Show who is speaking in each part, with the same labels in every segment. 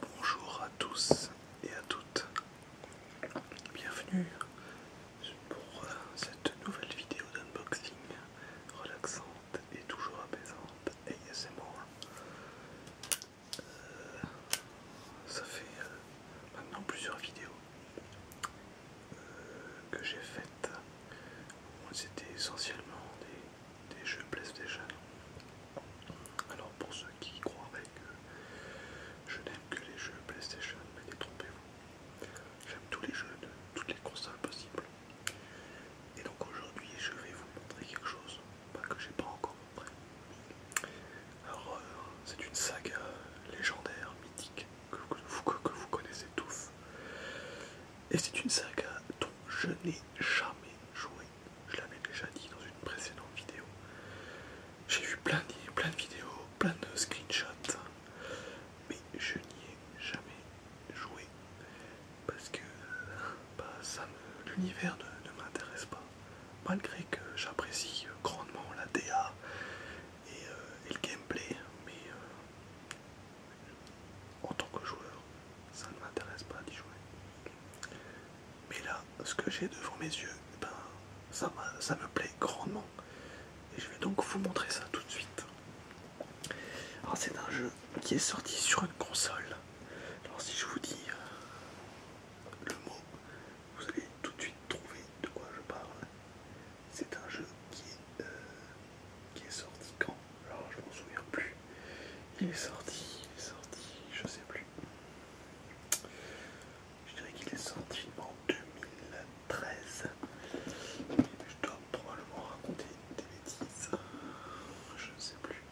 Speaker 1: Bonjour à tous et à toutes, bienvenue pour euh, cette nouvelle vidéo d'unboxing relaxante et toujours apaisante ASMR. Euh, ça fait euh, maintenant plusieurs vidéos que j'ai faites, c'était essentiellement des des jeux PlayStation. Alors pour ceux qui croiraient que euh, je n'aime que les jeux PlayStation, mais détrompez-vous. J'aime tous les jeux de toutes les consoles possibles. Et donc aujourd'hui je vais vous montrer quelque chose que j'ai pas encore montré. Alors euh, c'est une saga légendaire, mythique, que vous connaissez tous. Et c'est une saga dont je n'ai jamais joué. Je l'avais déjà dit dans une précédente vidéo. J'ai vu plein de, plein de vidéos, plein de screenshots, mais je n'y ai jamais joué parce que bah, l'univers ne, m'intéresse pas. Malgré que j'apprécie grandement la DA euh, et, le gameplay, mais euh, en tant que joueur, ça ne m'intéresse pas d'y jouer. Mais là, ce que j'ai devant mes yeux, eh ben, ça, ça me plaît grandement. Et je vais donc vous montrer ça tout de suite. Alors c'est un jeu qui est sorti sur une console. Alors si je vous dis euh, le mot, vous allez tout de suite trouver de quoi je parle. C'est un jeu qui euh, qui est sorti quand alors je m'en souviens plus. Il est sorti, il est sorti, je sais plus. Je dirais qu'il est sorti en 2013. je dois probablement raconter des bêtises. Je ne sais plus.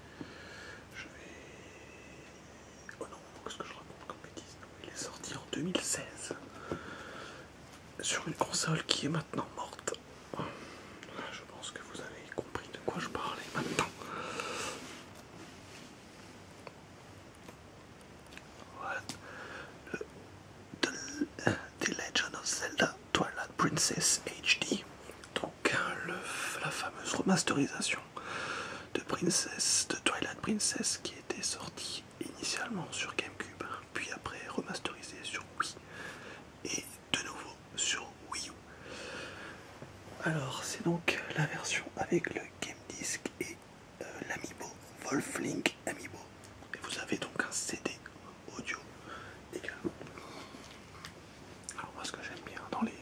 Speaker 1: Je vais. Oh non, qu'est-ce que je raconte comme bêtise il est sorti en 2016 sur une console qui est maintenant morte. Je pense que vous avez compris de quoi je parlais maintenant. Voilà. Le, the, Legend of Zelda Twilight Princess HD. Donc hein, la fameuse remasterisation de Princess, de Twilight Princess qui était sortie initialement sur GameCube, hein, puis après remasterisée sur Wii et de nouveau sur Wii U. Alors c'est donc la version avec le Game Disc et euh, l'Amiibo Wolf Link Amiibo. Et vous avez donc un CD audio également. Alors moi ce que j'aime bien dans les,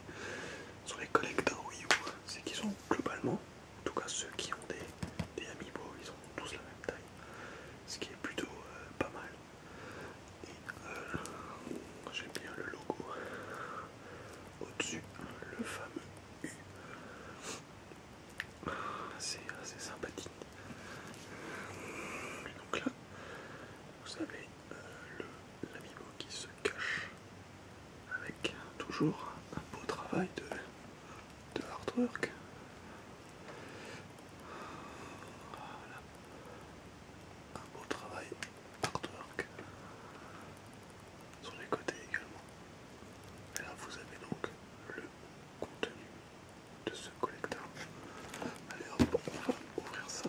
Speaker 1: sur les collecteurs Wii U, c'est qu'ils ont globalement, en tout cas ceux qui ont des, des Amiibo, ils ont tous la même taille ce qui est plutôt euh, pas mal. Et euh, j'aime bien le logo au-dessus, le fameux U. C'est assez sympathique. Donc là, vous avez euh, le l'amibo qui se cache avec toujours un beau travail de de l'artwork. Un beau travail artwork sur les côtés également. Et là vous avez donc le contenu de ce collecteur. Allez on va ouvrir ça.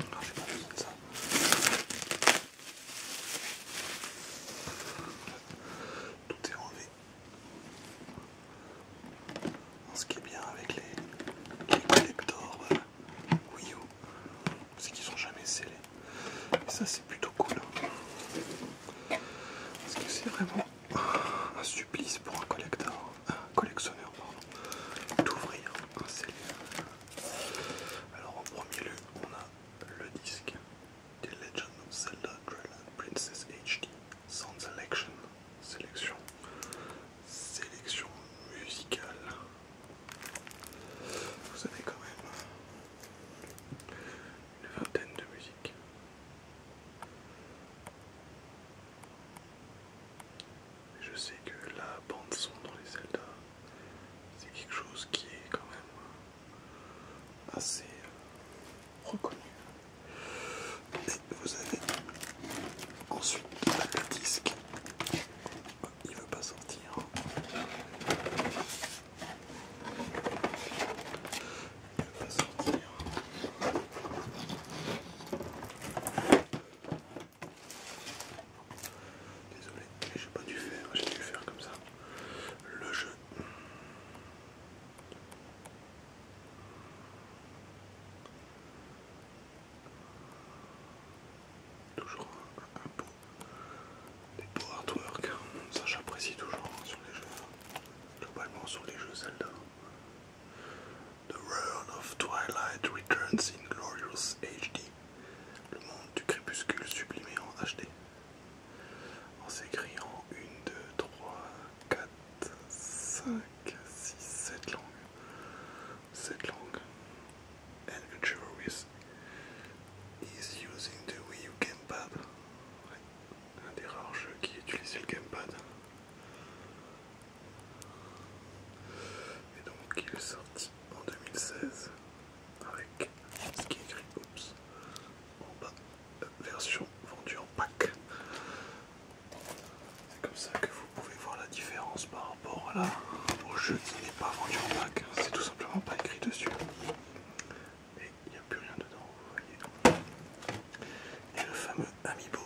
Speaker 1: Alors, j'ai pas besoin de ça. Tout est enlevé. Ce qui est bien avec les, collectors Wii U, c'est qu'ils sont jamais scellés. Et ça, c'est plutôt cool. Parce que c'est vraiment un supplice pour un collector collectionneur, pardon, d'ouvrir un Alors en premier lieu, on a le disque des Legend of Zelda Twilight Princess HD Sound Selection, sélection, sélection musicale. Vous avez quand même une vingtaine de musiques. Je sais que la bande son dans les Zelda, c'est quelque chose qui est quand même assez euh, reconnu. vous avez ensuite le disque. Oh, il ne veut pas sortir. Désolé, j'ai pas dû faire, j'ai dû faire comme ça le jeu. Toujours un, un beau, des beaux ça j'apprécie toujours hein, sur les jeux, hein. globalement sur les jeux Zelda. The world of Twilight Returns in Glorious HD. Le monde du crépuscule sublimé en HD. On s'écrit en 1, 2, 3, 4, 5, 6, 7 langues. 7 langues. And the is using the Wii U Gamepad. Un des rares jeux qui utilisait le Gamepad. Et donc il est sorti en 2016 avec ce qui est écrit en bas, euh, version vendue en pack. C'est comme ça que vous pouvez voir la différence par rapport au jeu qui n'est pas vendu en pack, c'est tout simplement pas écrit dessus et il n'y a plus rien dedans, vous voyez. Et le fameux Amiibo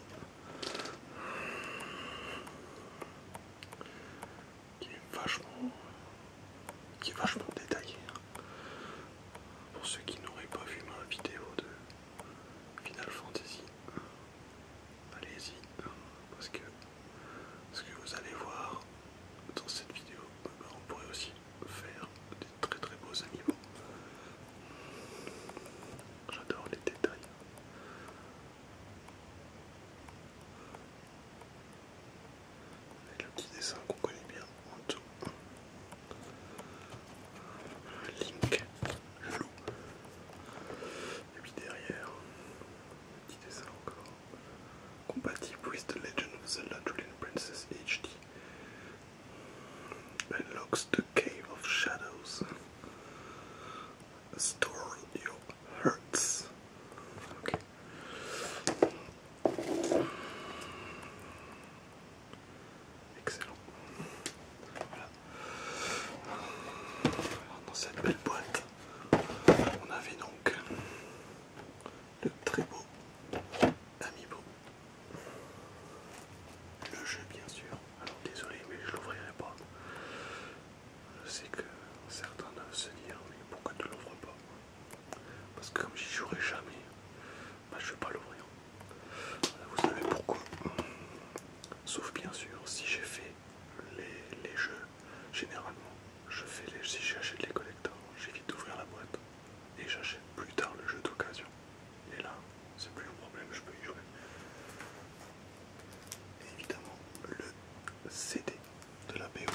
Speaker 1: qui est vachement, qui est vachement détaillé. Hein. Pour ceux qui n'auraient pas vu ma vidéo de Final Fantasy, allez-y parce que ce que vous allez voir dans cette vidéo, on pourrait aussi faire des très très beaux animaux. J'adore les détails. le petit dessin qu'on connaît bien en dessous. Link, le loup. Et puis derrière, petit dessin encore. Compatible with the Legend of Zelda Twilight Princess HD. Unlocks the Cave of Shadows. Store your hurts. Excellent. dans cette belle boîte, on avait donc le très beau Amibo Le jeu bien sûr. Alors désolé mais je l'ouvrirai pas. Je sais que certains doivent se dire mais pourquoi tu l'ouvres pas Parce que comme j'y jouerai jamais, bah, je vais pas l'ouvrir. Vous savez pourquoi Sauf bien sûr si j'ai fait les jeux généralement je fais les... Si j'achète les collecteurs, j'évite d'ouvrir la boîte et j'achète plus tard le jeu d'occasion. Et là, c'est plus un problème, je peux y jouer. évidemment, le CD de la BO.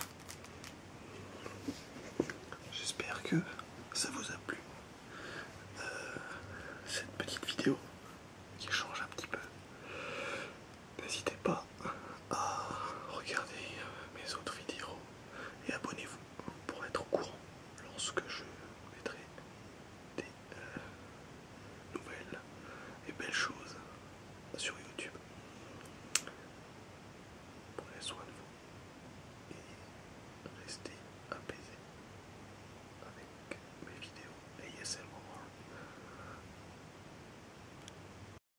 Speaker 1: J'espère que ça vous a plu. Euh, cette petite vidéo qui change un petit peu. N'hésitez pas ah, ah, regardez euh, mes autres vidéos et abonnez-vous pour être au courant lorsque je mettrai des euh, nouvelles et belles choses sur YouTube. Prenez soin de vous et restez apaisés avec mes vidéos ASMR.